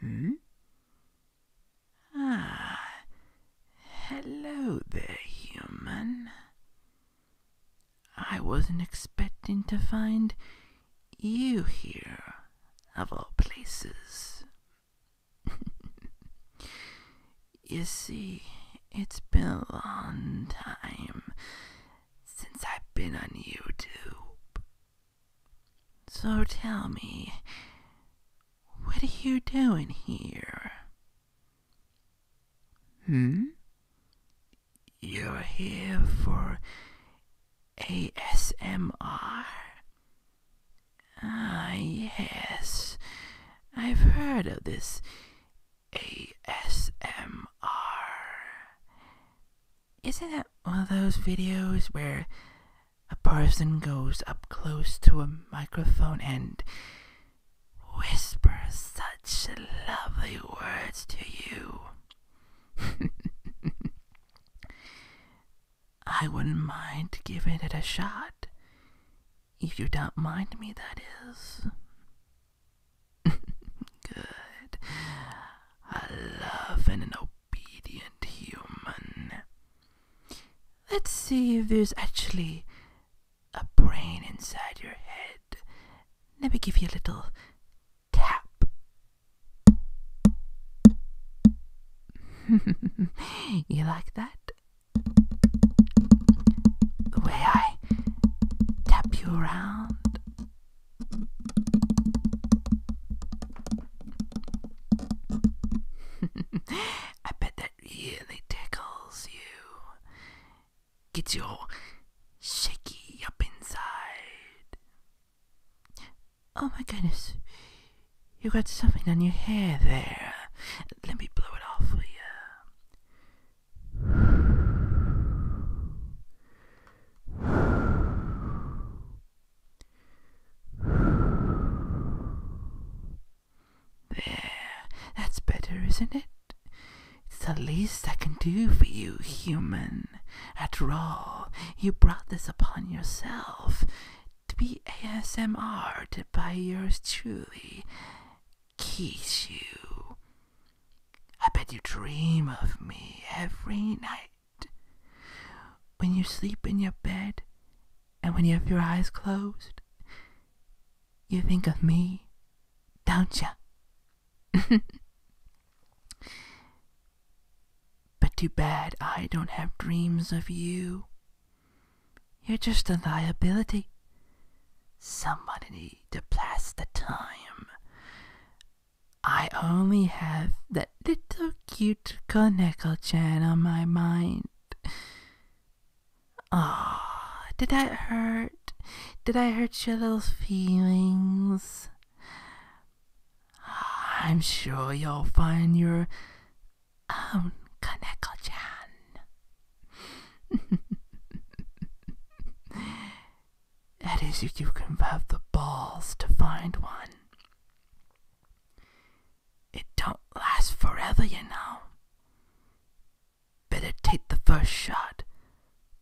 Hmm? Ah, hello there, human. I wasn't expecting to find you here, of all places. you see, it's been a long time since I've been on YouTube. So tell me, what are you doing here? Hmm? You're here for ASMR? Ah, yes. I've heard of this ASMR. Isn't it one of those videos where a person goes up close to a microphone and whispers such lovely words to you? I wouldn't mind giving it a shot. If you don't mind me, that is. Good. I love an obedient human. Let's see if there's actually a brain inside your head. Let me give you a little tap. you like that? The way I tap you around? I bet that really tickles you. Gets you all shaky up inside. Oh my goodness. You got something on your hair there. Let me blow it off for you. There, that's better, isn't it? It's the least I can do for you, human. After all, you brought this upon yourself to be ASMR'd by yours truly kiss you. I bet you dream of me every night. When you sleep in your bed and when you have your eyes closed, you think of me, don't you? but too bad I don't have dreams of you. You're just a liability. Somebody need to pass the time. I only have that little cute koneko chain on my mind. Ah, did I hurt? Did I hurt your little feelings? I'm sure you'll find your own Kaneko-chan. that is, if you can have the balls to find one. It don't last forever, you know. Better take the first shot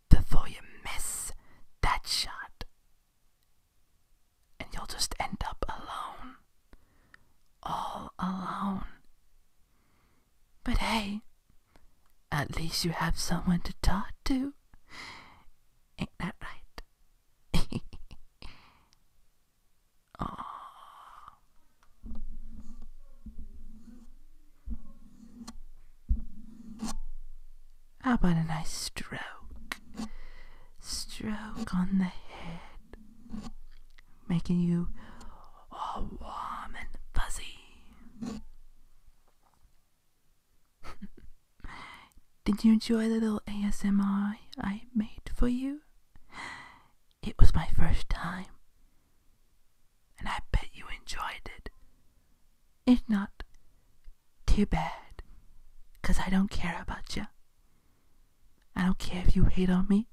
before you miss that shot. And you'll just end up alone. All alone. But hey, at least you have someone to talk to. Ain't that right? oh. How about a nice stroke? Stroke on the head making you all warm and fuzzy. Did you enjoy the little ASMR I made for you? It was my first time, and I bet you enjoyed it. If not, too bad, because I don't care about you. I don't care if you hate on me.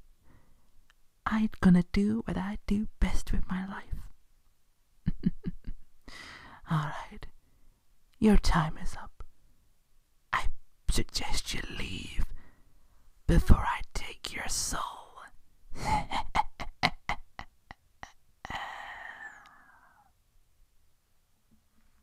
I'm gonna do what I do best with my life. Alright, your time is up. I suggest you leave before I take your soul.